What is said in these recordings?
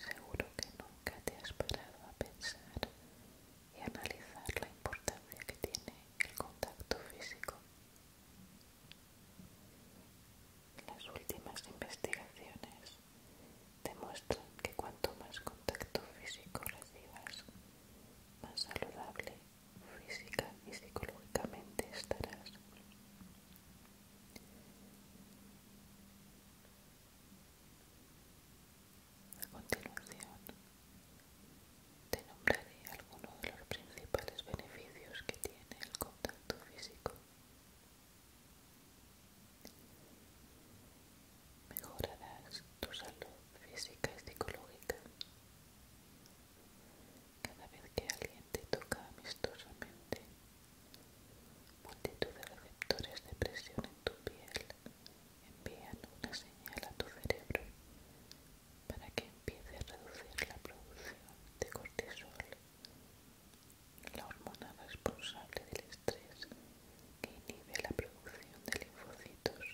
Seguro que nunca te has parado a pensar y analizar la importancia que tiene el contacto físico. Las últimas investigaciones demuestran que cuanto más contacto físico recibas, más saludable física y psicológicamente estarás. A continuación, te nombraré algunos de los principales beneficios que tiene el contacto físico. Mejorarás tu salud física y psicológica. Cada vez que alguien te toca amistosamente, multitud de receptores de presión en tu piel envían una señal a tu cerebro para que empiece a reducir la producción de cortisol la hormona responsable del estrés que inhibe la producción de linfocitos,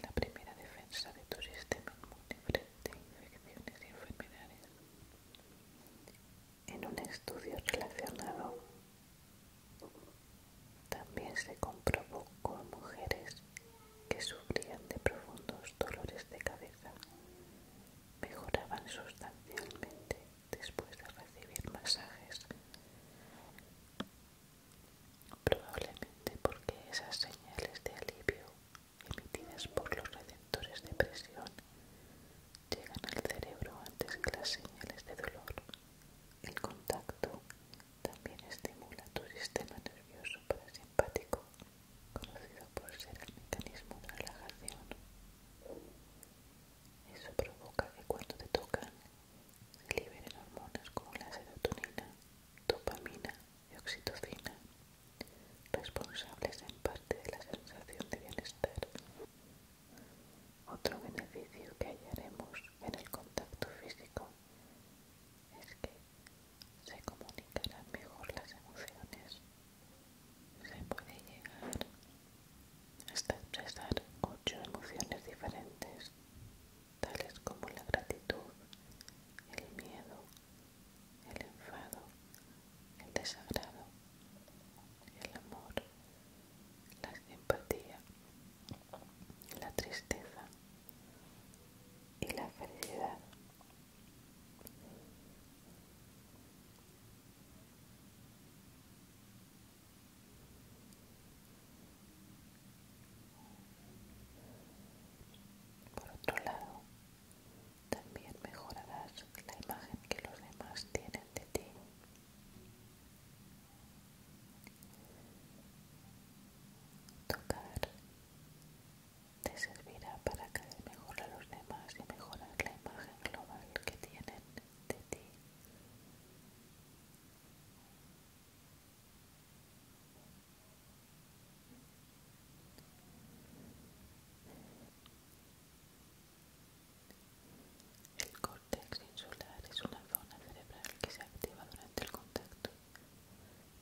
la primera defensa de tu sistema inmune frente a infecciones y enfermedades. En un estudio relacionado también se comprobó que mujeres que sufrían de profundos dolores de cabeza mejoraban sustancialmente después de recibir masajes, probablemente porque esas señales de alivio emitidas por los receptores de presión llegan al cerebro antes que las señales de dolor. El contacto también estimula tu sistema nervioso parasimpático conocido por ser el mecanismo de relajación. Eso provoca que cuando te tocan liberen hormonas como la serotonina, dopamina y oxitocina, responsables en parte de la sensación de bienestar. Otro beneficio que hallaremos en el contacto físico es que se comunicarán mejor las emociones, se puede llegar hasta expresar ocho emociones diferentes, tales como la gratitud, el miedo, el enfado, el desagrado, el amor, la simpatía, la tristeza y la felicidad. Por otro lado, también mejorarás la imagen que los demás tienen de ti. Tocar te servirá para que mejor a los demás y mejorar la imagen global que tienen de ti. El córtex insular es una zona cerebral que se activa durante el contacto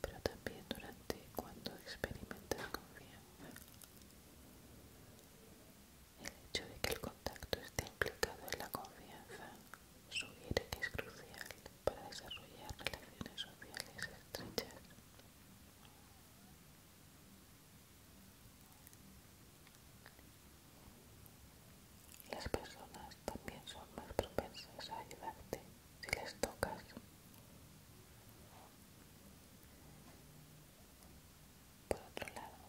pero también durante cuando experimentas confianza. El hecho de que el contacto esté implicado en la confianza sugiere que es crucial para desarrollar relaciones sociales estrechas. Las personas también son más propensas a ayudarte si les tocas. Por otro lado,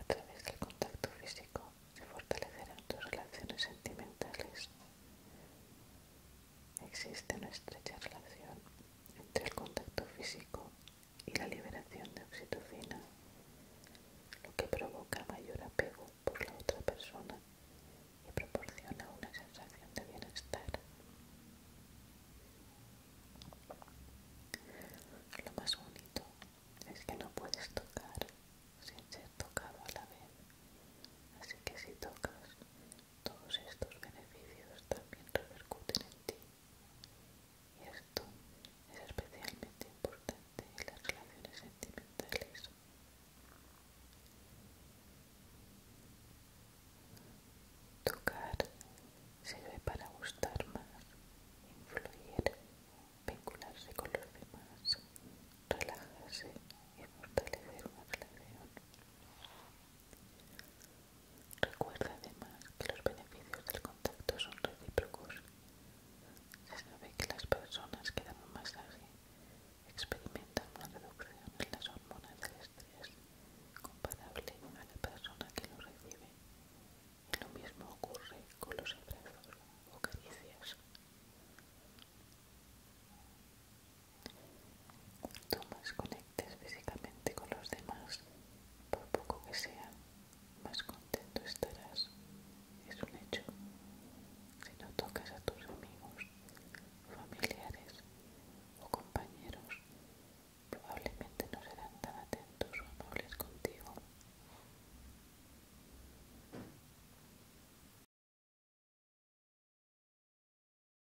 a través del contacto físico se fortalecerán tus relaciones sentimentales. Existe una estrecha relación entre el contacto físico y la liberación de oxitocina, lo que provoca mayor apego por la otra persona y proporciona una sensación de bienestar. Lo más bonito es que no puedes tocar sin ser tocado a la vez, así que si tocas, todos estos beneficios también repercuten en ti. Y esto es especialmente importante en las relaciones sentimentales. Tocar sirve para gustar más, influir, vincularse con los demás, relajarse y fortalecer una relación. Recuerda además que los beneficios del contacto son recíprocos. Se sabe que las personas que dan un masaje experimentan una reducción en las hormonas del estrés comparable a la persona que lo recibe. Y lo mismo ocurre con los abrazos o caricias físicamente con los demás, por poco que sea, más contento estarás. Es un hecho. Si no tocas a tus amigos, familiares o compañeros, probablemente no serán tan atentos o amables contigo.